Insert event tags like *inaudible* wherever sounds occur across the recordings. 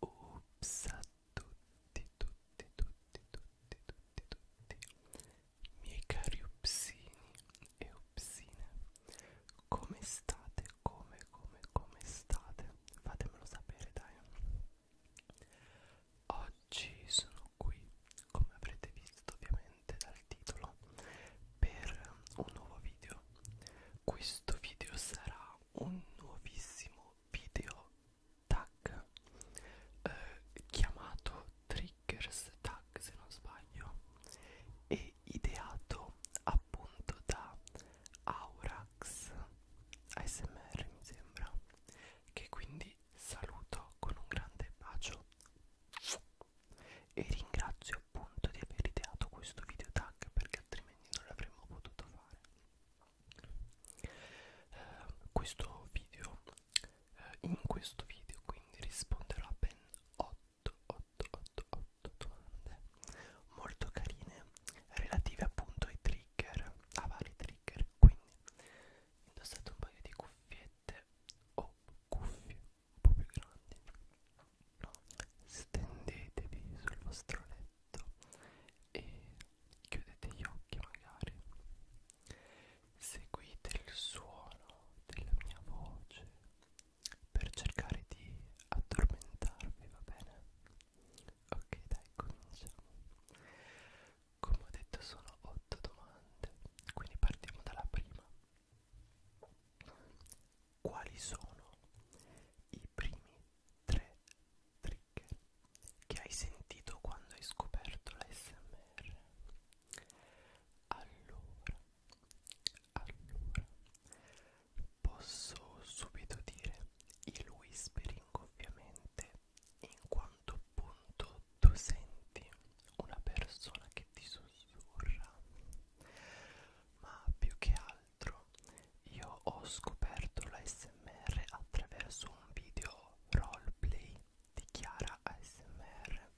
Ups a tutti, tutti, tutti, tutti, tutti, tutti miei cari upsini e upsine come state? Come, come, come state? Fatemelo sapere dai Oggi sono qui, come avrete visto ovviamente dal titolo, per un nuovo video. Questo video sarà un nuovissimo video tag eh, chiamato Triggers Tag se non sbaglio e ideato appunto da Aurax ASMR mi sembra che quindi vi saluto con un grande bacio e ringrazio appunto di aver ideato questo video tag perché altrimenti non l'avremmo potuto fare eh, questo video eh, in questo video quindi risponderò a ben 8 8 8 8 domande molto carine relative appunto ai trigger a vari trigger quindi indossate un paio di cuffiette o cuffie un po' più grandi stendetevi sul vostro letto e chiudete gli occhi magari seguite il suono della mia voce per cercare di addormentarvi va bene ok dai cominciamo come ho detto sono 8 domande quindi partiamo dalla prima quali sono i primi tre trigger che hai sentito quando hai scoperto l'SMR allora allora posso subito dire il whispering ovviamente in quanto appunto tu senti una persona che ti sussurra ma più che altro io ho scoperto l'ASMR attraverso un video roleplay di Chiara ASMR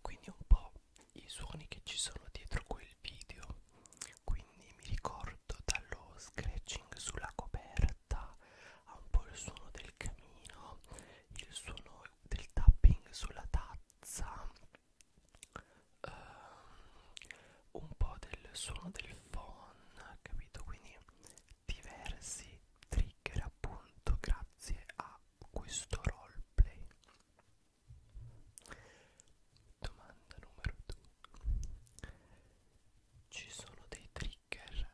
quindi un po' i suoni che ci sono dietro quel video quindi mi ricordo dallo scratching sulla coperta ha un po' il suono del camino, il suono del tapping sulla tazza, um, un po' del suono del phone, capito? Quindi diversi trigger appunto grazie a questo roleplay. Domanda numero 2. Ci sono dei trigger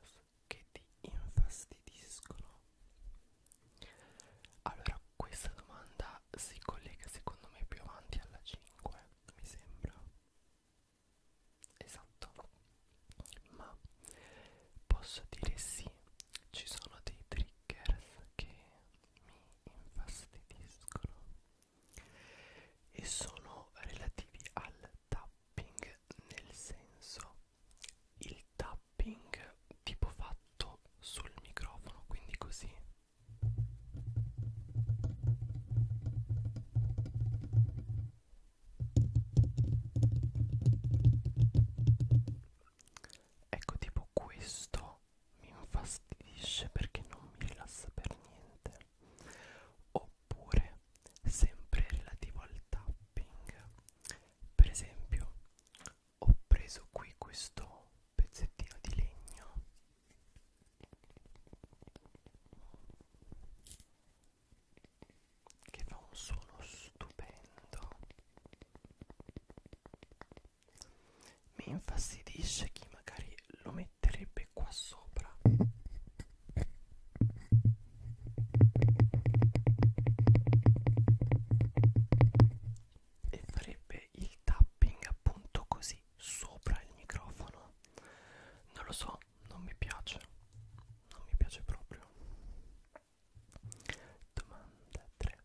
che ti infastidiscono? Allora, questa domanda si collega secondo me più avanti alla 5, mi sembra. Esatto. Ma posso dire sì, ci sono dei triggers che mi infastidiscono e sono relativi al tapping nel senso il tapping tipo fatto sul microfono quindi così ecco tipo questo mi infastidisce perché non mi rilassa per niente oppure sempre relativo al tapping per esempio ho preso qui questo pezzettino di legno che fa un suono stupendo mi infastidisce chi magari lo metterebbe qua sopra e farebbe il tapping appunto così sopra il microfono non lo so non mi piace non mi piace proprio domanda 3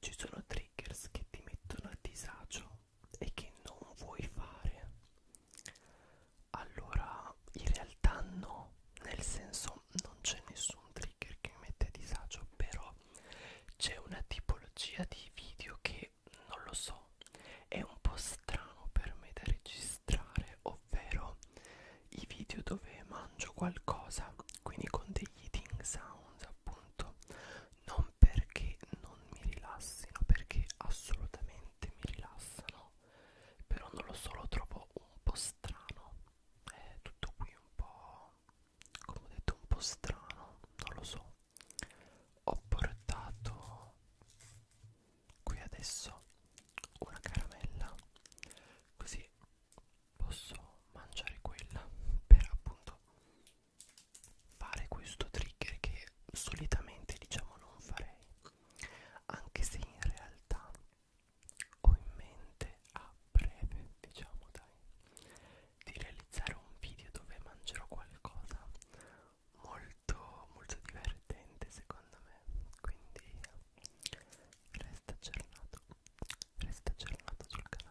ci sono triggers che ti mettono a disagio e che non vuoi fare allora, in realtà no, nel senso non c'è nessun trigger che mette disagio, però c'è una tipologia di video che non lo so, è un po' strano per me da registrare, ovvero i video dove mangio qualcosa, quindi con degli eating sounds appunto, non perché non mi rilassino, perché assolutamente mi rilassano, però non lo so, lo trovo un po' strano, è tutto qui un po', come ho detto, un po' strano, non lo so. Ho portato qui adesso una caramella, così posso mangiare quella per appunto fare questo trigger che solitamente diciamo non farei anche se in realtà ho in mente a breve, diciamo dai, di realizzare un video dove mangerò qualcosa molto molto divertente secondo me, quindi resta aggiornato, resta aggiornato sul canale.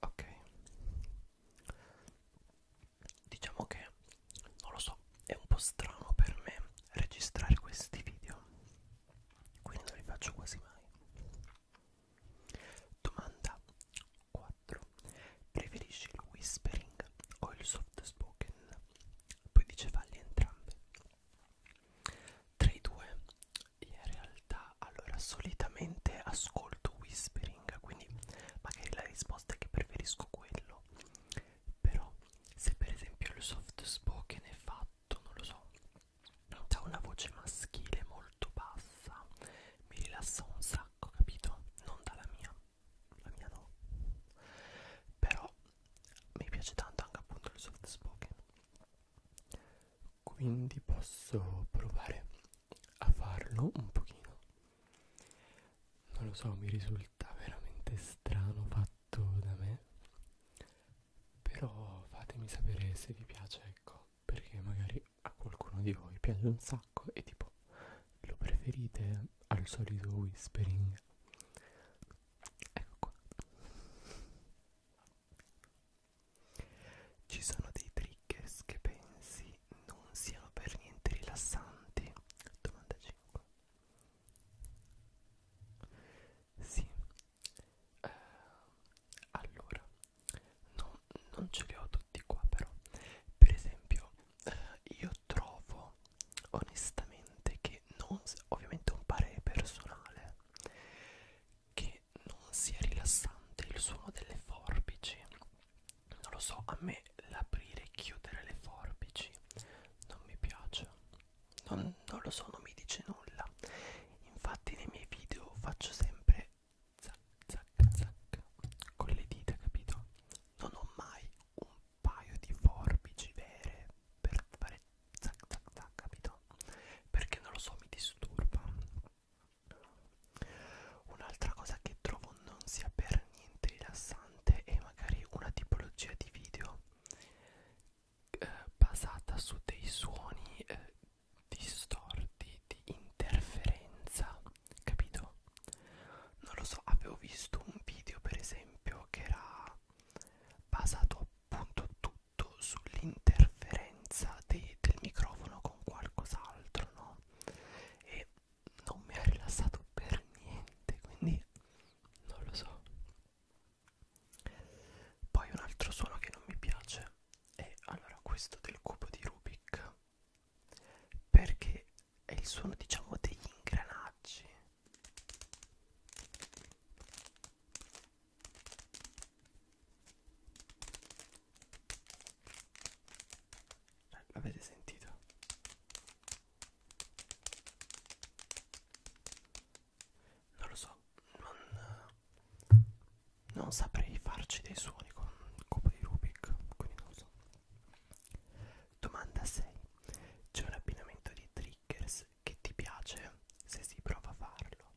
ok diciamo che non lo so è un po' strano per me registrare questi video quindi non li faccio quasi mai domanda 4 preferisci il whispering o il soft spoken poi dice falli entrambe tra i due in realtà allora solitamente ascolto whispering quindi magari la risposta è che preferisco quello però se per esempio il soft spoken è fatto non lo so da una voce maschile molto bassa mi rilassa un sacco capito non dalla mia la mia no però mi piace tanto anche appunto il soft spoken quindi posso provare a farlo un pochino non lo so mi risulta veramente strano fatto da me però fatemi sapere se vi piace ecco perché magari a qualcuno di voi piace un sacco e tipo lo preferite al solito whispering ecco qua ci sono dei triggers che pensi non siano per niente rilassanti domanda 5 sì eh, allora no, non ce li ho tutti qua però per esempio eh, io trovo onestamente che non ovviamente un parere personale che non sia rilassante il suono delle forbici non lo so a me l'aprire e chiudere le forbici non mi piace non, non lo so non mi dice nulla infatti nei miei video faccio sempre zac zac zac con le dita capito non ho mai un paio di forbici vere per fare zac zac zac, capito? Perché non lo so, mi disturba. Un'altra cosa che trovo non sia per niente rilassante è magari una tipologia di video eh, basata su dei suoni eh, distorti di interferenza, capito? Non lo so, avevo visto un video per esempio che era basato appunto tutto sull'interferenza del microfono con qualcos'altro, no? E non mi ha rilassato per niente, quindi non lo so. Poi un altro suono che non mi piace è allora questo del cubo di Rubik perché è il suono diciamo degli ingranaggi eh, l'avete sentito? Non lo so, non, non saprei farci dei suoni con il cubo di Rubik, quindi non lo so. Domanda 6. C'è un abbinamento di tri Snickers che ti piace se si prova a farlo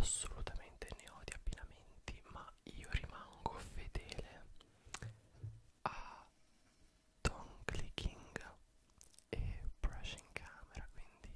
assolutamente ne ho di abbinamenti ma io rimango fedele a Don Clicking e Brush in Camera quindi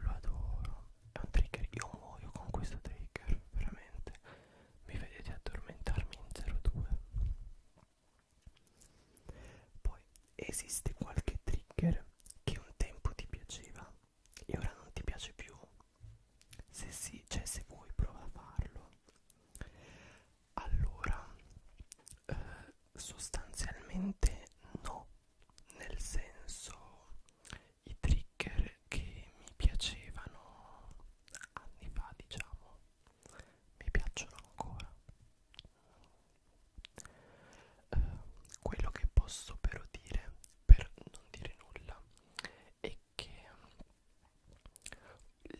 lo adoro, è un trigger, io muoio con questo trigger, veramente. Mi vedete addormentarmi in 02. Poi esiste qualche trigger che un tempo ti piaceva e ora non ti piace più? Se sì, cioè se vuoi prova a farlo. Allora, eh, sostanzialmente no, nel senso i trigger che mi piacevano anni fa, diciamo, mi piacciono ancora eh, quello che posso però dire per non dire nulla è che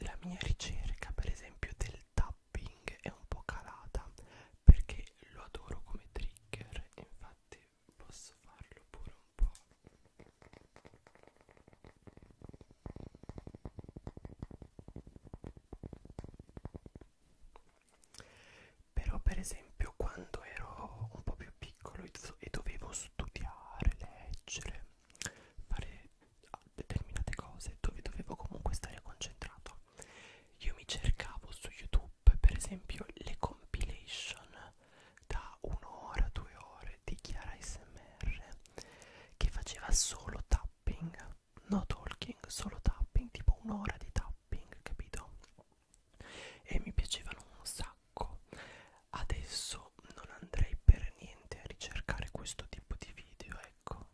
la mia ricerca per esempio del tapping è un po' calata perché lo adoro come trigger infatti posso farlo pure un po' Però per esempio quando ero un po' più piccolo e dovevo studiare, leggere, fare ah, determinate cose dove dovevo comunque stare concentrato, io mi cercavo su YouTube per esempio le compilation da un'ora, due ore di Chiara SMR che faceva solo tapping, no talking, solo tapping, tipo un'ora di tapping, capito? e mi piacevano un sacco adesso non andrei per niente a ricercare questo tipo di video ecco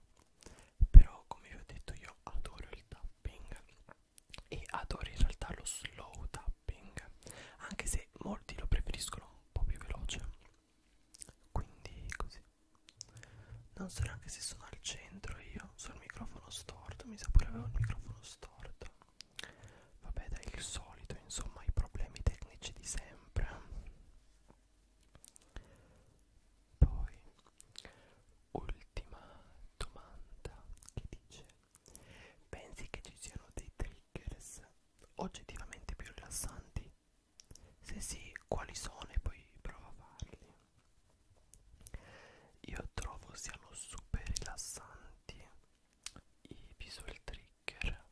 però come vi ho detto io adoro il tapping e adoro in realtà lo slow tapping anche se molti lo preferiscono un po' più veloce quindi così non so neanche se sono al centro io, sul microfono storto, mi sa pure avevo il microfono storto Vabbè dai il solito, insomma i problemi tecnici di sempre. Poi, ultima domanda che dice, pensi che ci siano dei triggers oggettivamente più rilassanti? Se sì, quali sono e poi prova a farli. Io trovo siano super rilassanti i visual trigger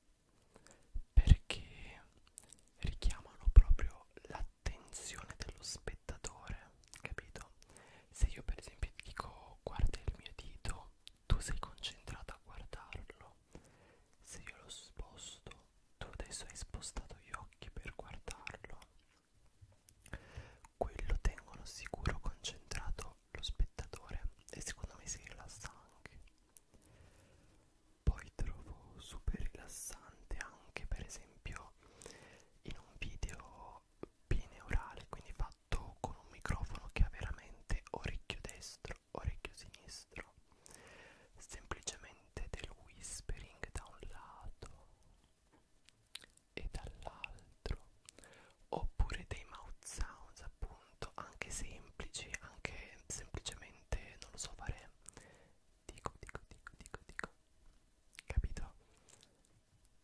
perché richiamano proprio l'attenzione dello spettatore, capito? Se io per esempio ti dico guarda il mio dito, tu sei concentrato a guardarlo. Se io lo sposto, tu adesso hai spostato gli occhi per guardarlo quello tengono sicuro concentrato lo spettatore e secondo me si rilassa anche. Poi trovo super rilassante anche per esempio in un video bineurale, quindi fatto con un microfono che ha veramente orecchio destro, orecchio sinistro semplicemente del whispering da un lato e dall'altro oppure dei mouth sounds appunto anche semplici anche semplicemente non lo so fare dico dico dico dico dico capito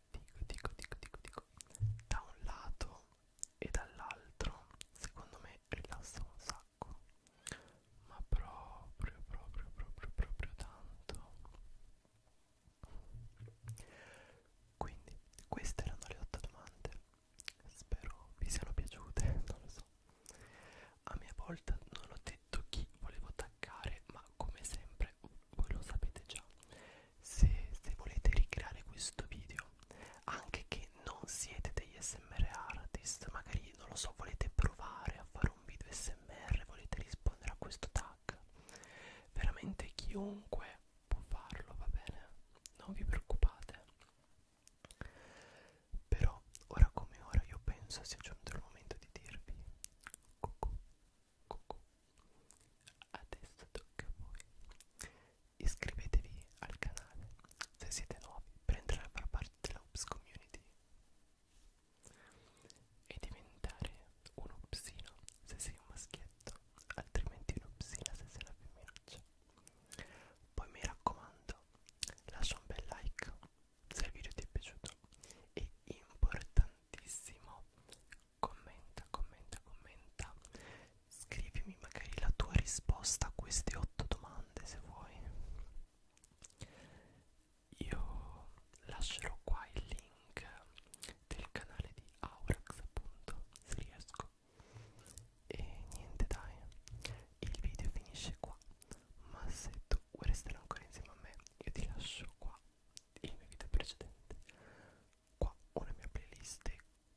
dico dico dico dico dico da un lato e dall'altro secondo me rilassa un sacco ma proprio proprio proprio proprio tanto quindi queste erano le 8 domande. Spero vi siano piaciute, *laughs* non lo so. A mia volta non ho detto chi volevo attaccare, ma come sempre voi lo sapete già. Se, se volete ricreare questo video, anche che non siete degli SMR artist, magari non lo so, volete provare a fare un video SMR, volete rispondere a questo tasto H veramente chiunque può farlo va bene non vi preoccupate però ora come ora io penso sia giunto il momento di dirvi cucù cucù adesso tocca a voi iscrivetevi al canale se siete nuovi per entrare a far parte della Ops Community e diventare un upsino se sei un maschietto, altrimenti un'upsina se sei una femminuccia. Poi mi raccomando, lascia un bel like se il video ti è piaciuto e importantissimo, commenta, commenta, commenta, scrivimi magari la tua risposta a queste 8 domande se vuoi. Io lascerò qua il link del canale di Aurax appunto se riesco e niente dai il video finisce qua ma se tu vuoi restare ancora insieme a me io ti lascio qua il mio video precedente qua una mia playlist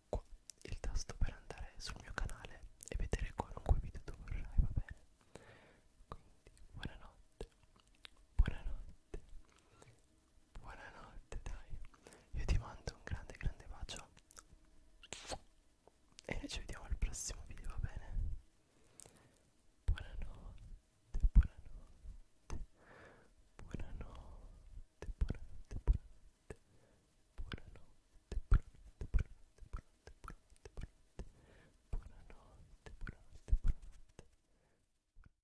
qua il tasto per andare sul mio canale e vedere qualunque video tu vorrai va bene quindi buonanotte buonanotte Buonanotte, dai. Io ti mando un grande, grande bacio. E noi ci vediamo al prossimo video, va bene? Buonanotte, buonanotte. Buonanotte, buonanotte, buonanotte. Buonanotte, buonanotte, buonanotte, buonanotte, buonanotte, buonanotte. Buonanotte, buonanotte, buonanotte.